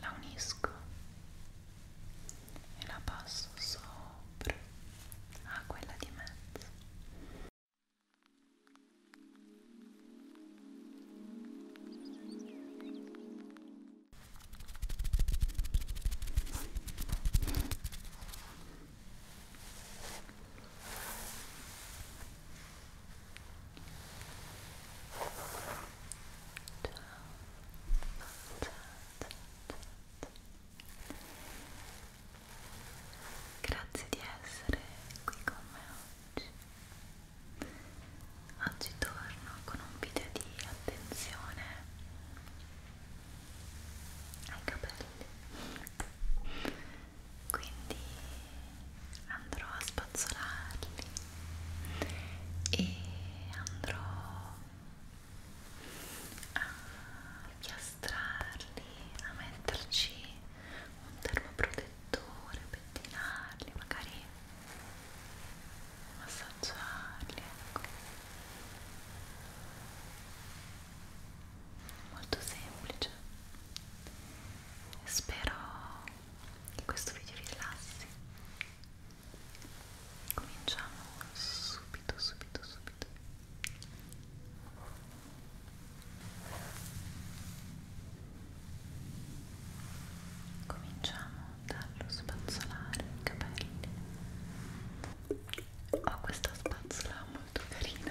la unisco e la passo sopra a quella di mezzo Grazie di essere qui con me oggi. Oggi torno con un video di attenzione ai capelli quindi andrò a spazzolarli e andrò a chiastrarli a metterci un termoprotettore pettinarli magari massaggiarli ecco. molto semplice spero che questo video vi rilassi cominciamo subito subito subito cominciamo darlo spazzolare i capelli ho questa spazzola molto carina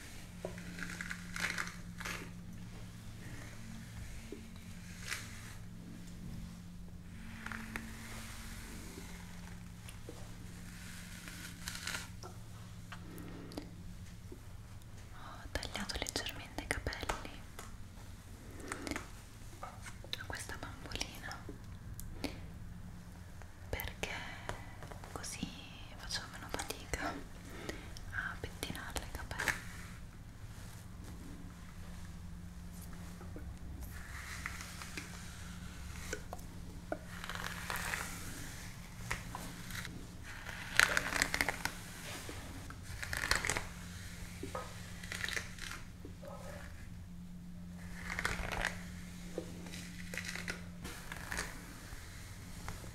Ho tagliato leggermente i capelli a questa bambolina perché così facevo meno fatica a pettinarle i capelli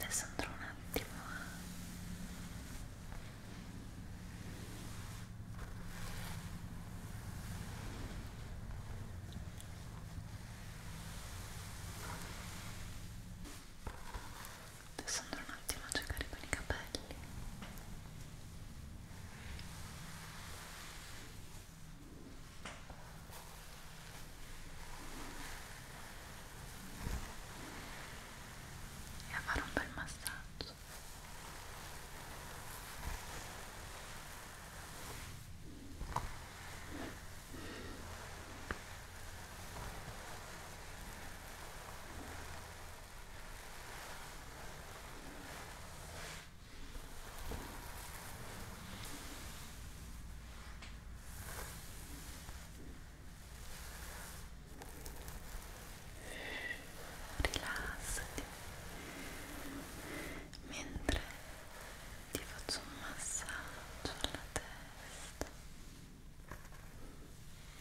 Adesso andrò un attimo a Adesso andrò un attimo a giocare con i capelli. Ora e a fare un bel massaggio Ecco rilassati mentre ti faccio un massaggio alla testa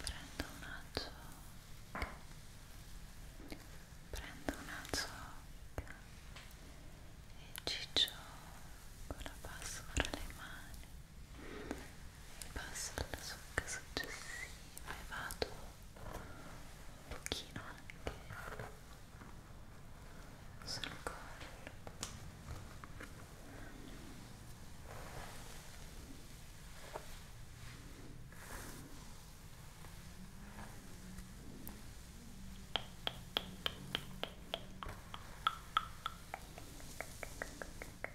prendo una ciocca prendo una ciocca e ci gioco la passo fra le mani passo alla succa successiva e vado un pochino anche sul collo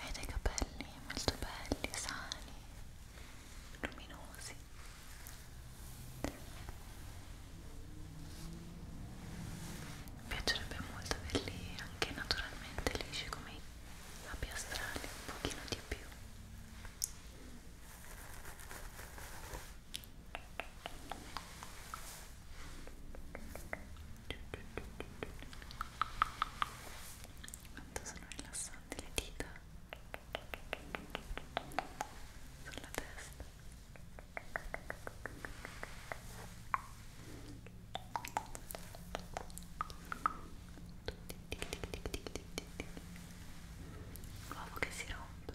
hai dei capelli molto belli, sani, luminosi mi piacerebbe molto averli anche naturalmente lisci come i labi astrali, un pochino di più quanto sono rilassanti le dita sulla testa l'uovo che si rompe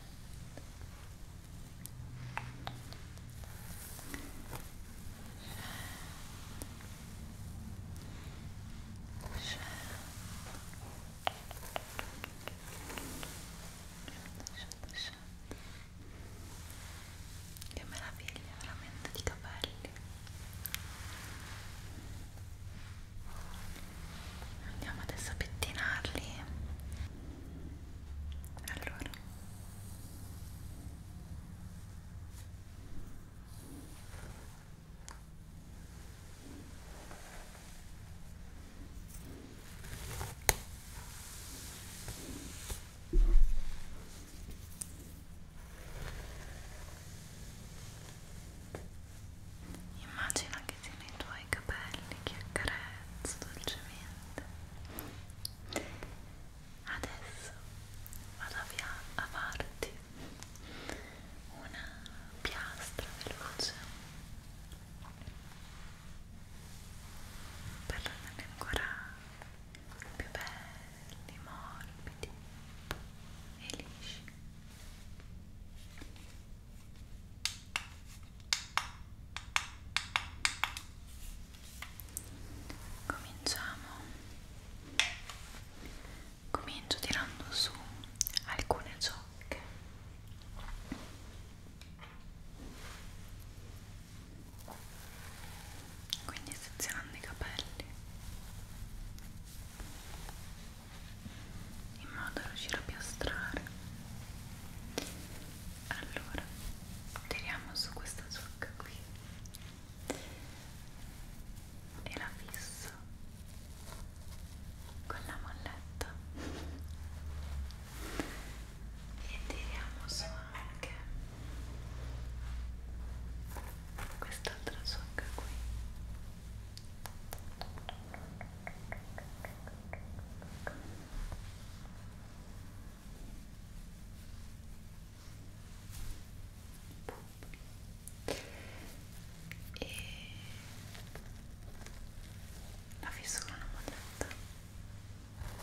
che meraviglia veramente di capelli andiamo adesso a pettinarli allora Ecco Immagina che siano i tuoi capelli che accarezzo dolcemente. Adesso vado a farti una piastra veloce per renderli ancora più belli, morbidi e lisci cominciamo comincio tirando su alcune ciocche quindi sezionando i capelli in modo da riuscire a piastrare allora tiriamo su questa zucca qui e la fisso con la molletta e tiriamo su anche quest'altra zucca qui e la fissura non modetta ok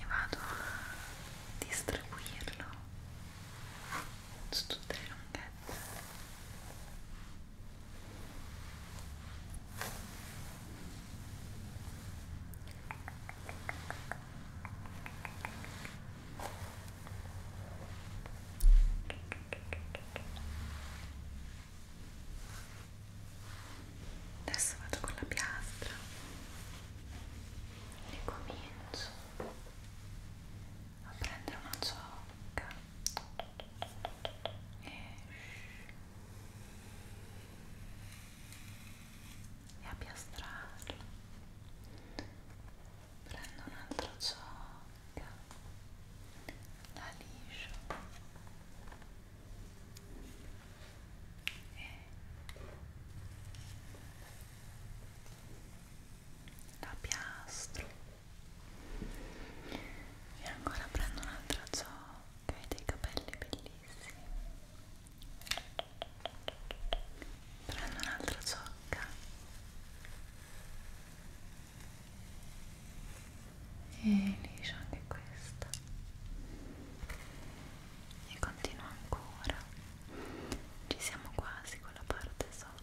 e vado a distribuirlo su tutte le lunghezze e Adesso vado con la piastra e comincio a prendere una ciocca e, e a piastrarla prendo un altro ciocca la liscio e la piastro e ancora prendo un'altra ciocca e dei capelli bellissimi prendo un'altra ciocca e liscio anche questa e continuo ancora ci siamo quasi con la parte sotto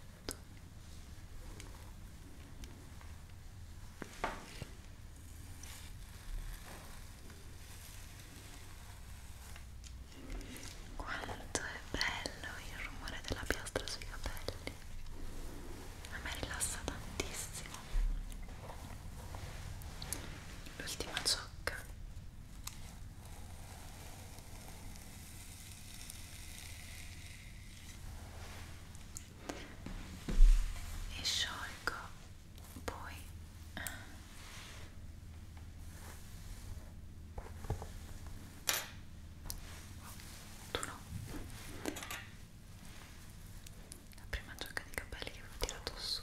quanto è bello il rumore della piastra sui capelli. A me rilassa tantissimo. L'ultima ciocca. E sciolgo poi eh, tu no la prima giacca di capelli che avevo tirato su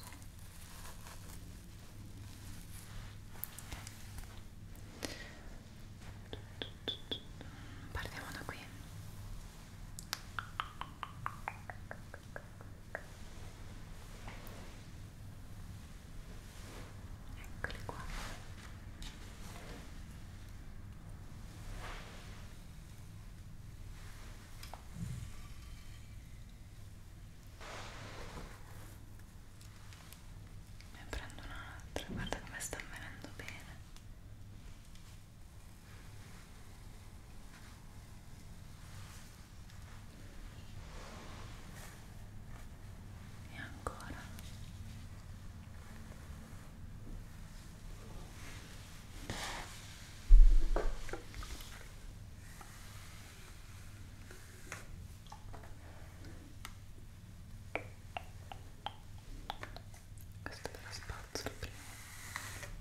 partiamo da qui eccole qua ne prendo un'altra guarda come sta venendo bene e ancora questo è lo spazio prima e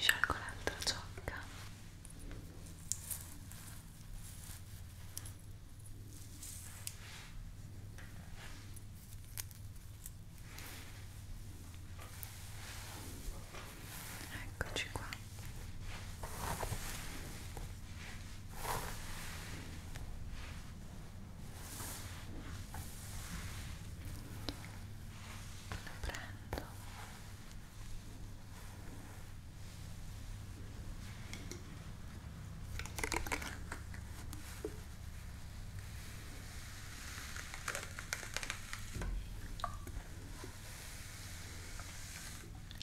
Sciolgo l'altra ciocca Eccoci qua. Lo prendo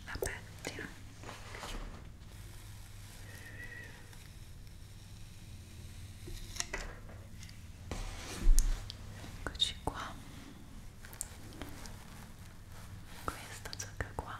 la pettina eccoci qua questa giacca qua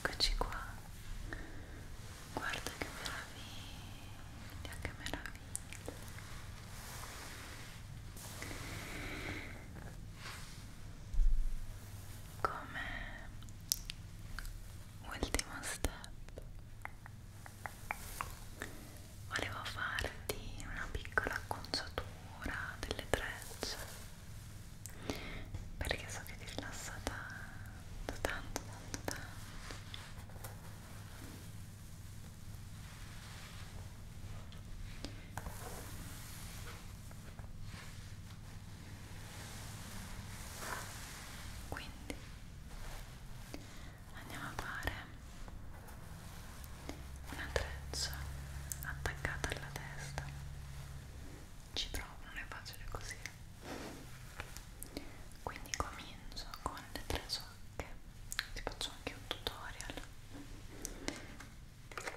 Eccoci qua. Guarda che meraviglia, che meraviglia. Come ultimo step volevo farti una piccola acconciatura delle trecce perché so che ti rilassa tanto, tanto, tanto, tanto. Quindi andiamo a fare una treccia attaccata alla testa ci provo, non è facile così quindi comincio con le tre socche ti faccio anche un tutorial ok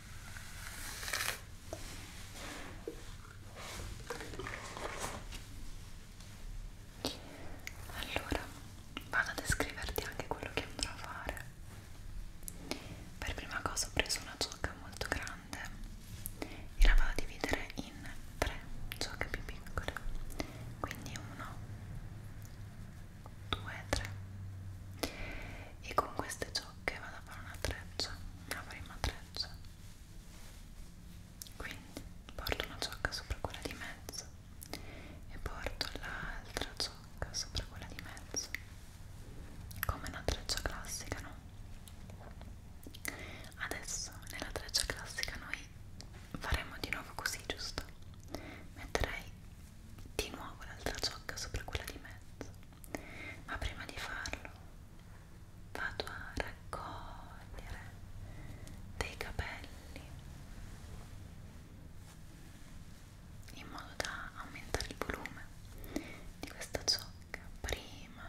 Allora, vado a descriverti anche quello che andrò a fare. Per prima cosa ho preso una giocca molto grande e la vado a dividere in tre giocche più piccole. Quindi uno, due, tre. E con queste giocche vado a fare una treccia, una prima treccia quindi porto una ciocca sopra quella di mezzo e porto l'altra ciocca sopra quella di mezzo come una treccia classica no? adesso nella treccia classica noi faremo di nuovo così giusto? metterei di nuovo l'altra ciocca sopra quella di mezzo ma prima di farlo vado a raccogliere dei capelli in modo da aumentare il volume di questa ciocca prima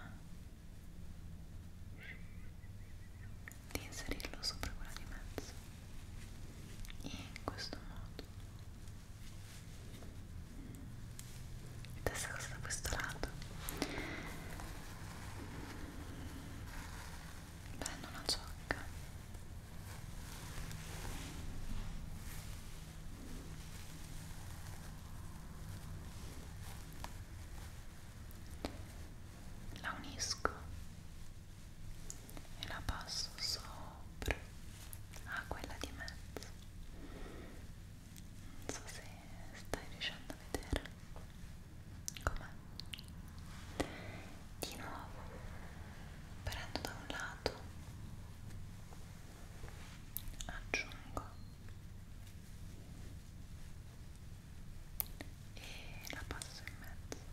di inserirlo sopra quella di mezzo in questo modo stessa cosa da questo lato prendo una ciocca la unisco e la passo sopra a quella di mezzo non so se stai riuscendo a vedere com'è di nuovo prendo da un lato aggiungo e la passo in mezzo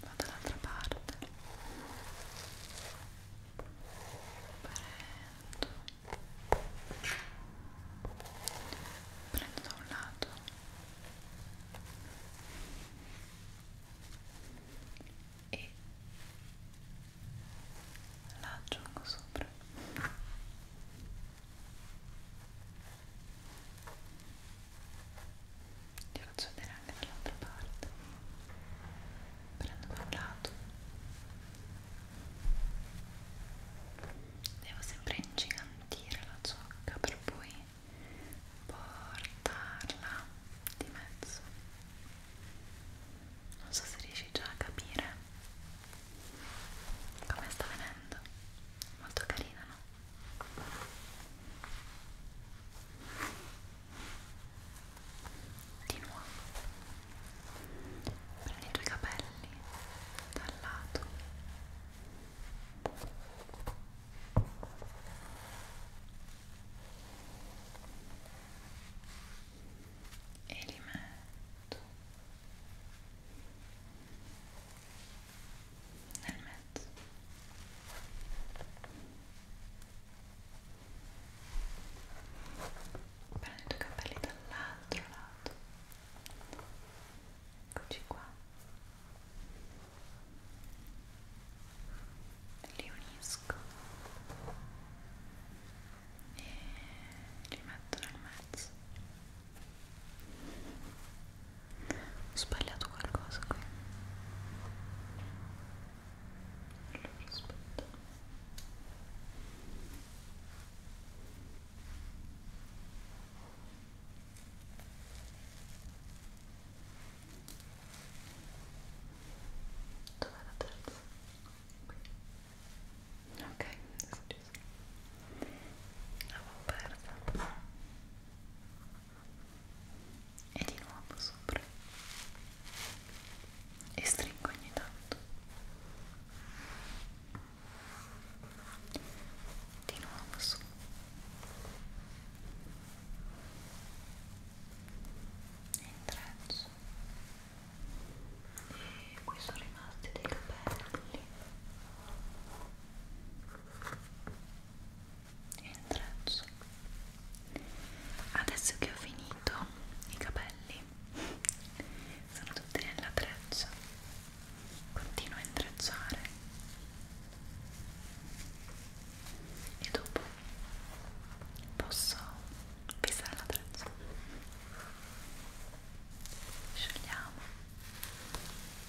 vado dall'altra parte prendo prendo da un lato e la aggiungo sopra ti faccio vedere anche dall'altra parte prendo da un lato devo sempre ingigantire la ciocca per poi portarla di mezzo non so se riesci già a capire come sta venendo molto carina no? di nuovo prendi i tuoi capelli dal lato e li metto nel mezzo prendi i tuoi capelli dall'altro lato eccoci qua li unisco e li metto nel mezzo ho sbagliato qualcosa qui. Allora, aspetta. Dov'è la terza? Qui. Ok, adesso ci sono. L'avevo persa e di nuovo sopra e stringo ogni tanto di nuovo su e intreccio e qui sono rimasti dei capelli e il traccio adesso che ho finito i capelli sono tutti nella treccia continuo a intrecciare e dopo posso pesare la treccia sciogliamo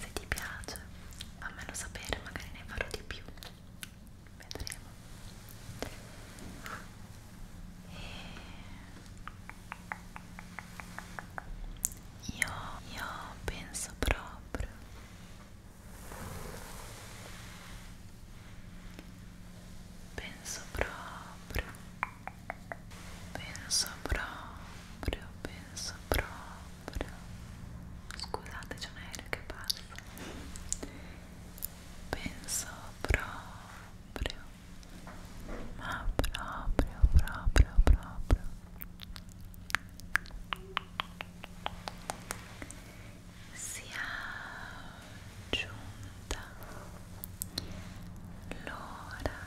Se ti piace, fammelo sapere, magari ne farò di più. Vedremo. E io, io penso proprio penso proprio penso proprio penso proprio scusate c'è un aereo che passa penso proprio ma proprio proprio proprio sia giunta l'ora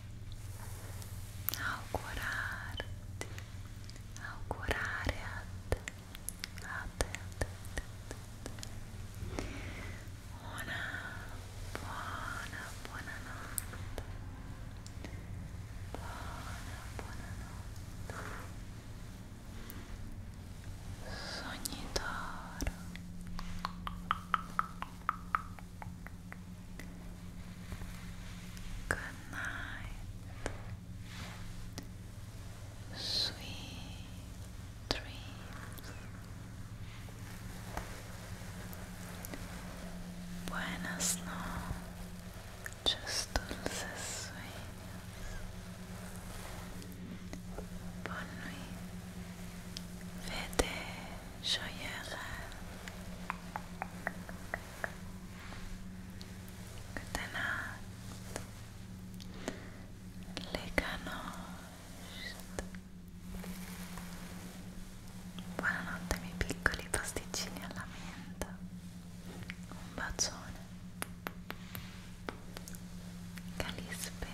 augurarti, augurare a te, a buona, buona notte, buona, buona notte, sognitoro. Good night. Sweet dreams. Buenas noches, dulces sueños. Bonne nuit. sciogliere Goedenacht Leganost Buonanotte miei piccoli pasticcini alla menta Un bacione Calispera